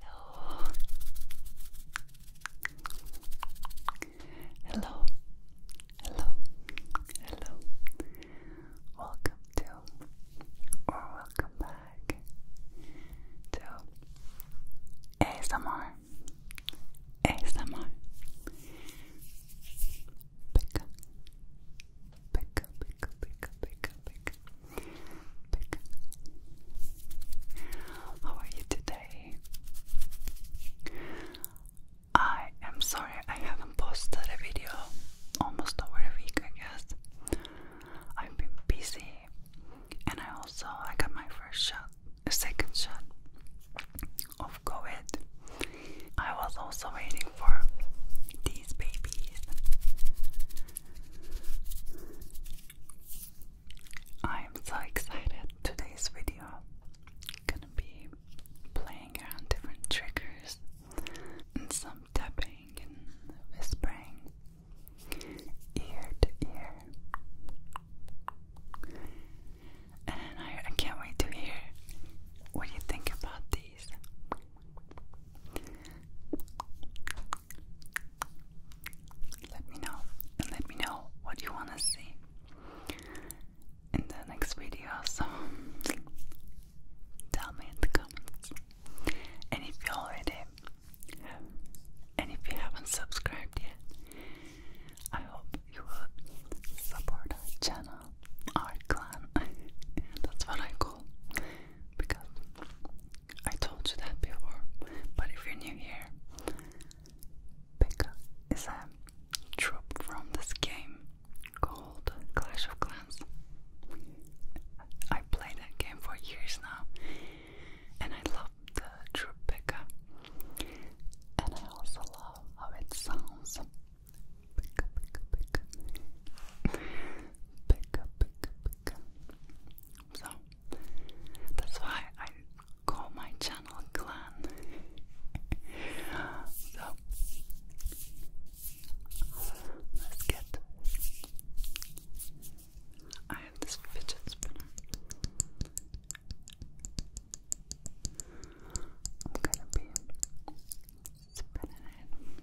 Hello. Hello. Hello. Hello. Welcome to or welcome back to ASMR. ASMR. Pick Pick pick pick pick pick how are you today? I am sorry I haven't posted a video almost over a week, I guess. I've been busy and I also I got my first shot, a second shot of COVID. I was also waiting for these babies I'm so excited. Today's video gonna be playing around different triggers and some tapping and whispering ear to ear. And I, can't wait to hear what you think about these. Let me know and let me know what you want to see in the next video. tell me in the comments. And if you already and if you haven't subscribed yet, I hope you will support our channel, our clan. That's what I call because I told you that before, but if you're new here, Pekka is a troop from this game called Clash of Clans. I play that game for years now, and I love the troop Pekka, and I also love how it sounds. Pekka, Pekka, Pekka, Pekka, Pekka, so that's why I call my channel Glen. so let's get. I have this fidget spinner. I'm gonna be spinning it.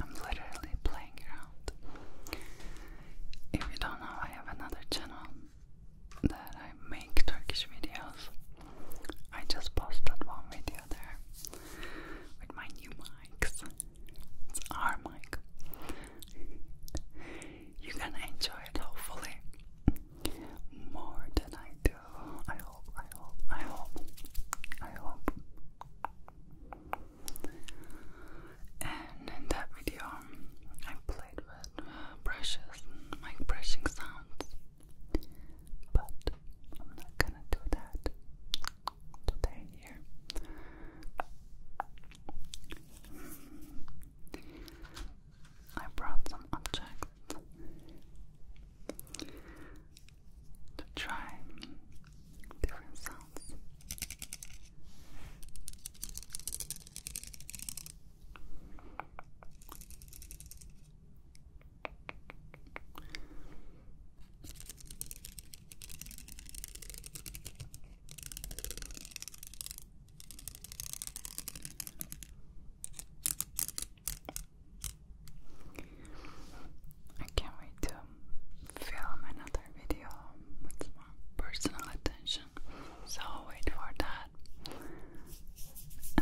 I'm literally playing around. If you don't know, I have another channel that I make Turkish videos. I just posted one video there with my new mics. It's our mic. You're enjoy it hopefully more than I do. I hope, I hope, I hope, I hope. And in that video, I played with brushes and brushing sounds, but I'm not gonna do that today here. I brought some objects to try different sounds. I can't wait to film another video with personal attention. So wait for that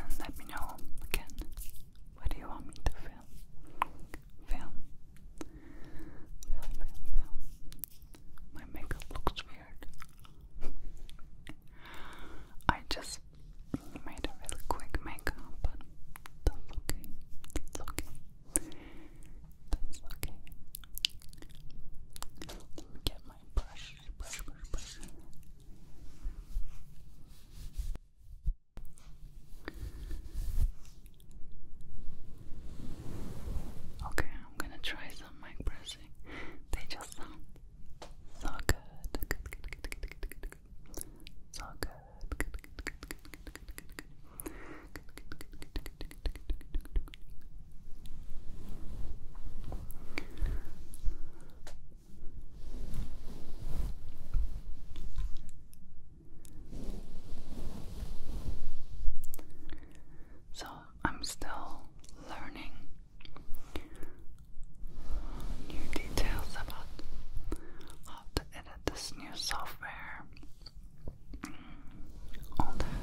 and let me know again what you want me to film. Film. Film, film, film. My makeup looks weird. I just made a really quick makeup, but that's okay. That's okay. That's okay. Let me get my brush, brush, brush, brush. Okay, I'm gonna try some mic pressing. They just sound so good. Good, good, good, good, good, good. So good. So I'm still learning new details about how to edit this new software, all that.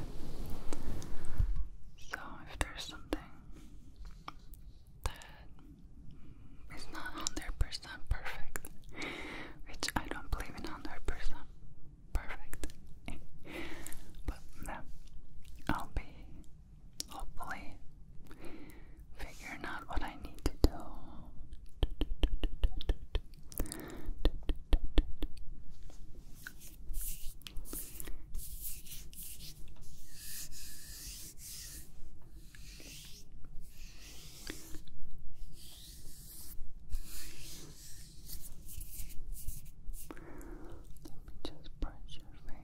So, if there's something that is not 100% perfect, which I don't believe in 100% perfect, but no, I'll be hopefully figuring out what I need to do. Let me just brush your face.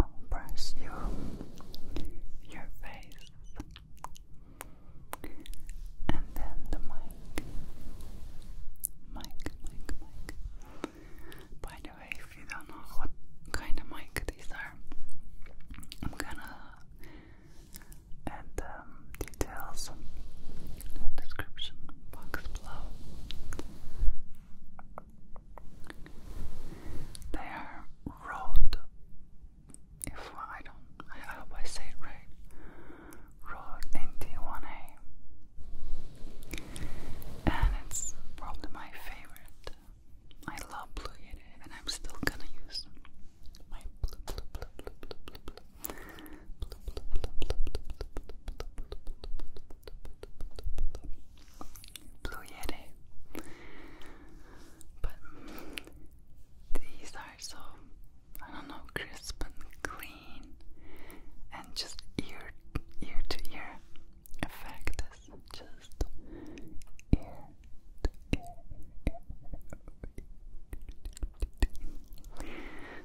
I'll brush you, your face, and then the mic. Mic, mic, mic. By the way, if you don't know what kind of mic these are, I'm gonna add um, details in the description box below. They are road. If I don't, I hope I say it right. Road NT1A, and it's probably my favorite. I love blue and I'm still gonna use my blue, blue, blue, blue, blue, blue, Blue Yeti. But these are so, I don't know, crisp and clean and just ear ear to ear effect is just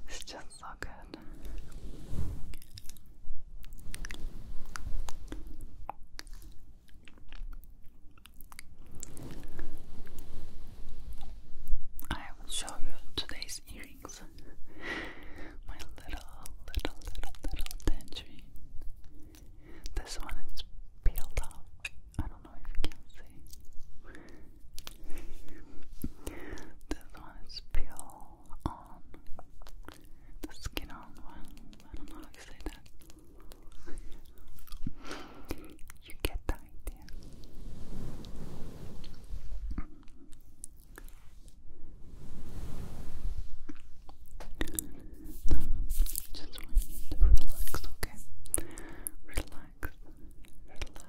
It's just so good. I will show you today's earrings. My little, little, little, little tangerine. This one is peeled off. I don't know if you can see. This one is pure on the skin on one. I don't know how to say that. You get the idea. just want you to relax, okay? Relax, relax.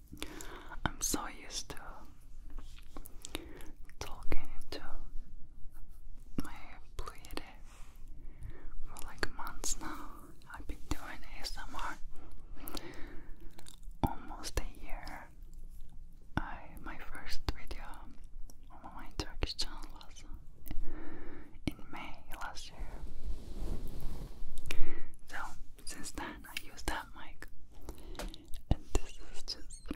I'm so used to talking into my bleed for like months now. I've been doing ASMR almost a year. I my first video on my Turkish channel was in May last year. So since then I use that mic and this is just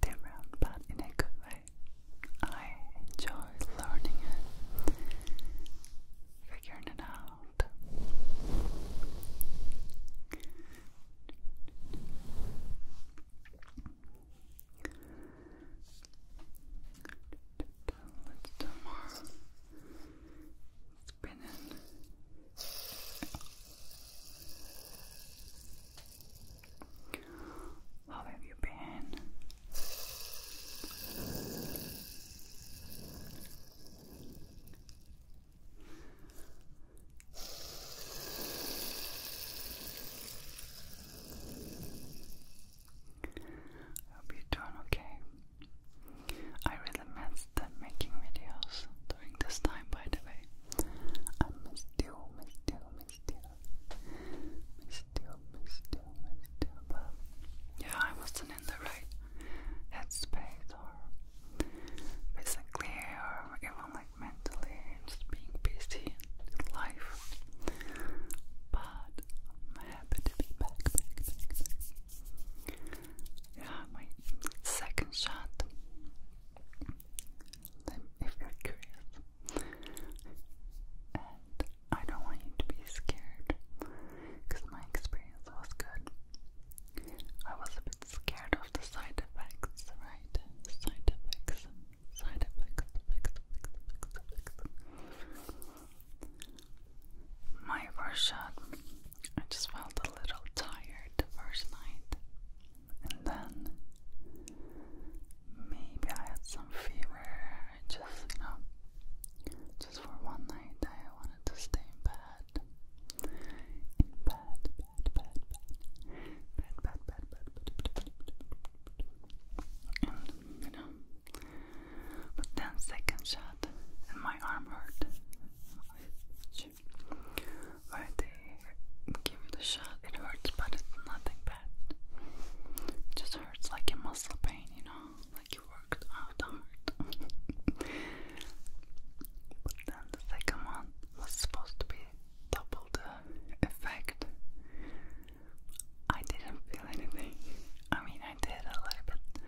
different but in a good way. I enjoy learning it, figuring it out. Let's do more spinning. How have you been? Hope you're doing okay. I really missed the making videos during this time, by the way. I missed you, missed you, missed you. Missed you, missed you, missed you. yeah, I wasn't in the right headspace or physically or even like mentally, just being busy in life. But yeah, my second shot. if you're curious. And I don't want you to be scared because my experience was good. I was a bit scared of the side effects, right? Side effects, side effects, effects, effects, effects, effects my first I just felt a little tired the first night, and then maybe I had some fever. I just, you know, just for one night, I wanted to stay in bed. In bed, bed, bed, bed, bed, bed, bed, bed, bed, bed, bed, bed, bed, bed. and you know. But then second shot and my arm hurt. Where they give the shot, it hurts, but it's nothing bad. just hurts like a muscle pain, you know, like you worked out hard. but then the second one was supposed to be double the effect, I didn't feel anything. I mean, I did a little bit.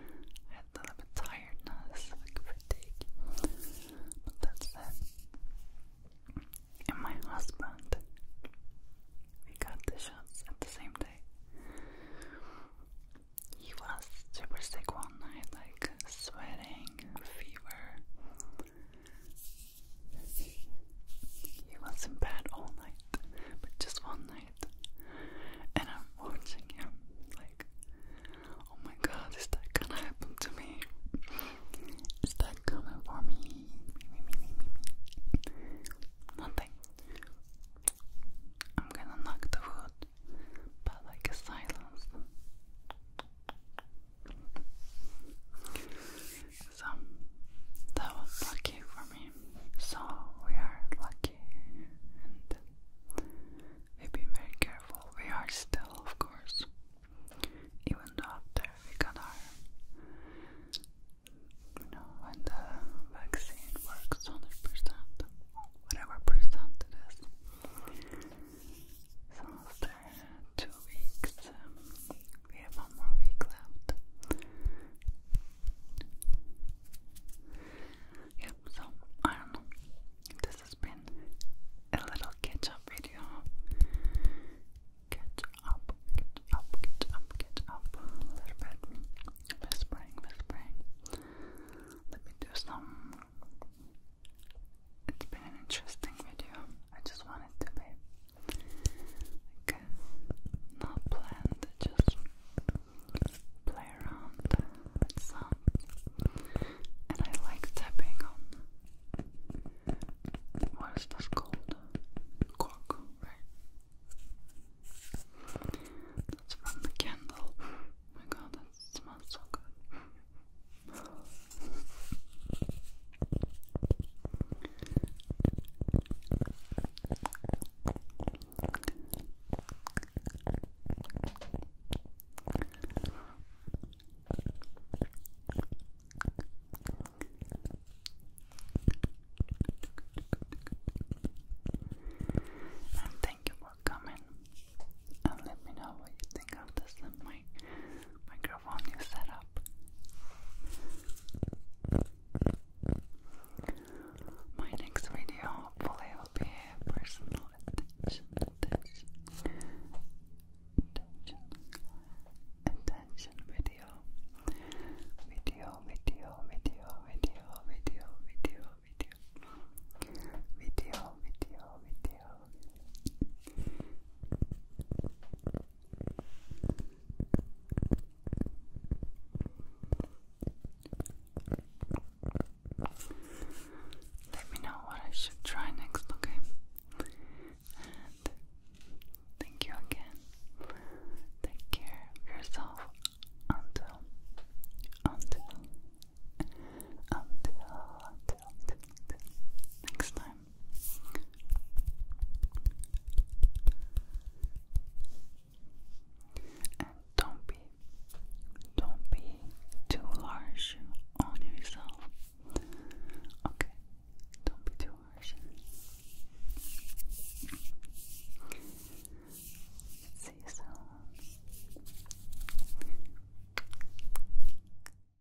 I had a little bit tiredness, like fatigue. But that's it. And my husband, we got the shots at the same day. He was super sick one night, like sweating, fever. He was in bed all night, but just one night. And I'm watching him like, oh my god, is that gonna happen to me? Is that coming for me? Me, me, I'm gonna knock the wood, but like a silence. So that was lucky for me. So we are lucky and we've very careful. We are still, of course, even though after we got our, you know, the vaccine works 100%, whatever percent it is. So after two weeks we have one more week left. Yep, so I don't know. This has been a little catch up video. Catch up, catch up, catch up, catch up a little bit. Whispering, whispering. Let me do some. It's been an interesting video. I just wanted to be not planned, just play around with some. And I like tapping on. What is this called? Cork, right? That's from the candle. Oh my god, that smells and thank you for coming and let me know what you think of this and microphone you set My next video hopefully will be personal attention, attention, attention, attention video, video, video, video, video, video, video, video, video, video. Let me know what I should try next, okay? thank you again. Take care of yourself until, until, until, until next time time. And don't be don't be too harsh on yourself. Okay. Don't be too harsh. See you soon.